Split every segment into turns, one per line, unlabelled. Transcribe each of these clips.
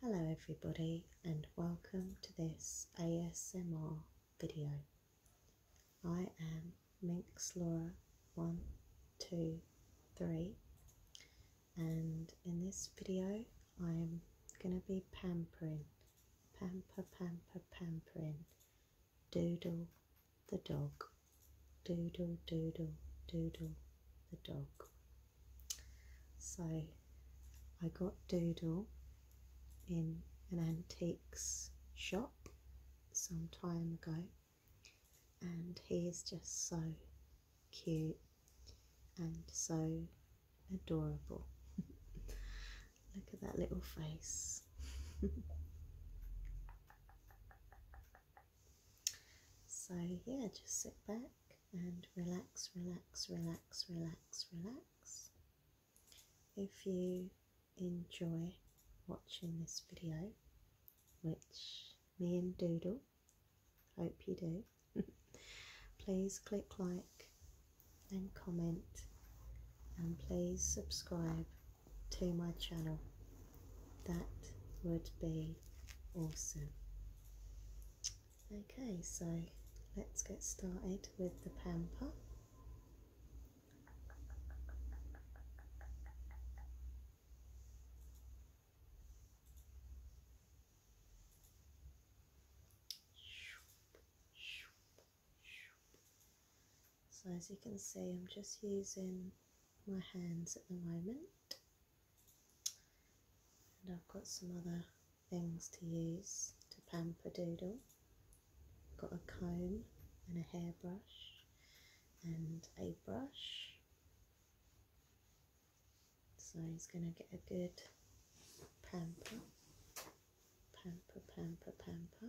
Hello everybody and welcome to this ASMR video. I am Minx Laura 123 and in this video I am going to be pampering, pamper, pamper, pampering, doodle the dog, doodle, doodle, doodle the dog. So I got Doodle in an antiques shop some time ago, and he is just so cute and so adorable. Look at that little face. so, yeah, just sit back and relax, relax, relax, relax, relax. If you enjoy watching this video, which me and Doodle hope you do, please click like and comment and please subscribe to my channel that would be awesome. Okay, so let's get started with the pamper. So as you can see, I'm just using my hands at the moment. And I've got some other things to use to pamper doodle. Got a comb and a hairbrush and a brush. So he's going to get a good pamper, pamper, pamper, pamper.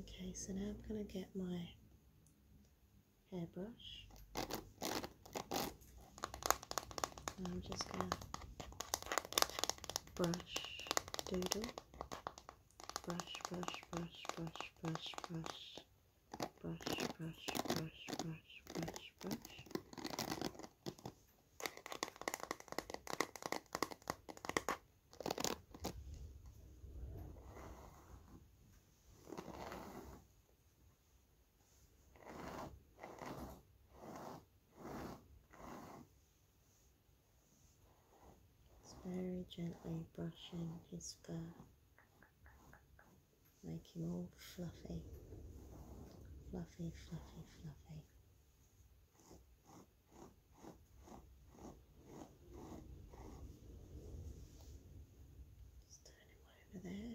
Okay, so now I'm going to get my hairbrush. And I'm just going to brush, doodle, brush, brush, brush, brush, brush, brush, brush, brush, brush, brush, brush, brush. It's very gently brushing his fur, make him all fluffy, fluffy, fluffy, fluffy. Just turn him over there.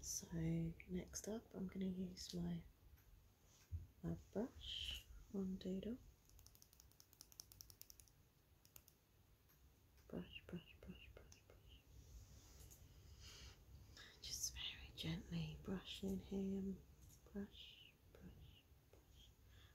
So next up I'm going to use my my brush on Doodle. Brush, brush, brush, brush, brush. Just very gently brushing him. Brush, brush, brush.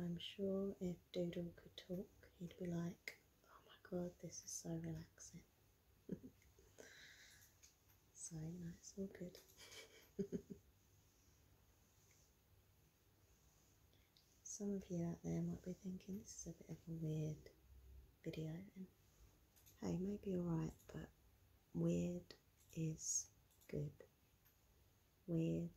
I'm sure if Doodle could talk, he'd be like, oh my god, this is so relaxing. so, you know, it's all good. Some of you out there might be thinking this is a bit of a weird video, hey, maybe you're right, but weird is good. Weird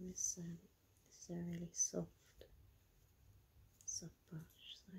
This, um, this is a really soft, soft brush. So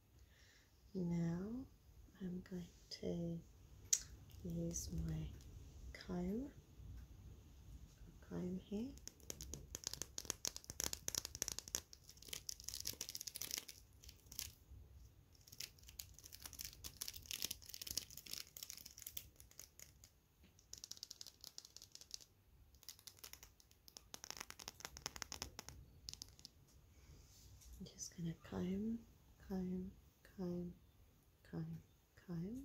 now I'm going to use my comb, comb here. I'm just going to comb, comb, comb, comb, comb.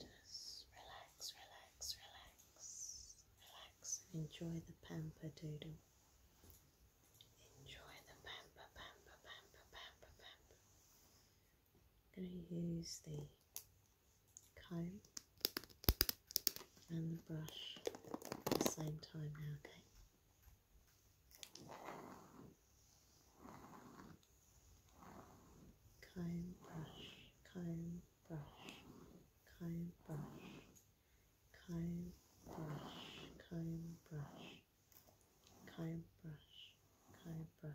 Just relax, relax, relax, relax, enjoy the pamper doodle. Enjoy the pamper, pamper, pamper, pamper, pamper. I'm going to use the comb and the brush at the same time now, okay? Comb, brush, comb, brush, comb brush, comb brush, comb brush, comb brush, comb brush,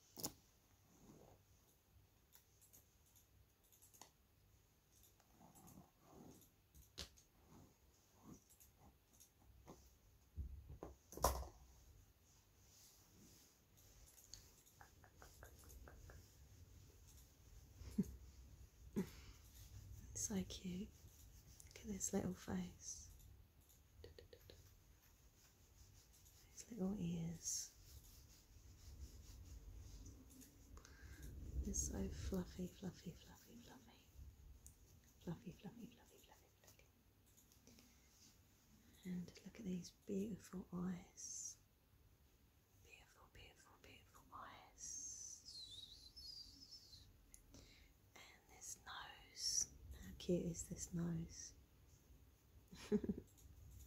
so cute. Look at this little face. His little ears. They're so fluffy, fluffy, fluffy, fluffy. Fluffy, fluffy, fluffy, fluffy, fluffy. And look at these beautiful eyes. Beautiful, beautiful, beautiful eyes this nose. How cute is this nose?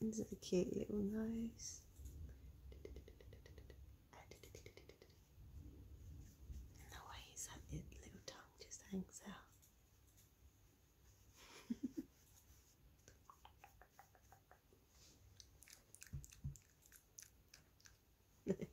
Is it a cute little nose? And the way his little tongue just hangs out.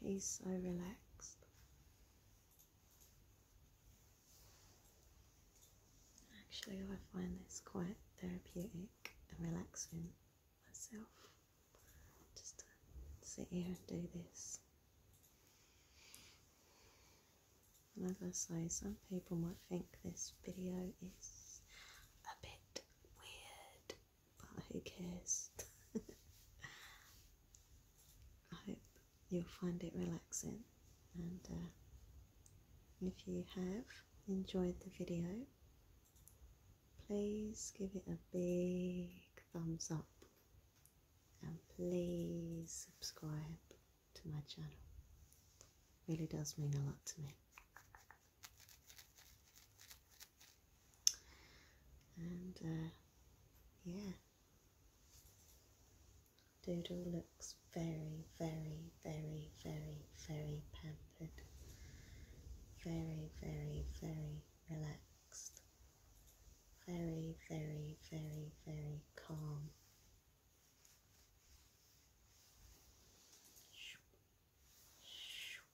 He's so relaxed. Actually, I find this quite therapeutic and relaxing myself just to sit here and do this. And as I say, some people might think this video is a bit weird but who cares? I hope you'll find it relaxing, and uh, if you have enjoyed the video, please give it a big thumbs up and please subscribe to my channel. It really does mean a lot to me. And uh, yeah, Doodle looks very, very, very, very, very pampered, very, very, very relaxed, very, very, very, very calm.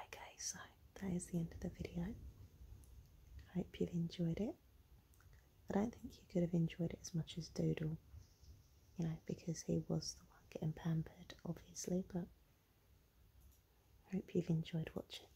Okay, so that is the end of the video. I hope you've enjoyed it I don't think he could have enjoyed it as much as Doodle, you know, because he was the one getting pampered, obviously, but I hope you've enjoyed watching.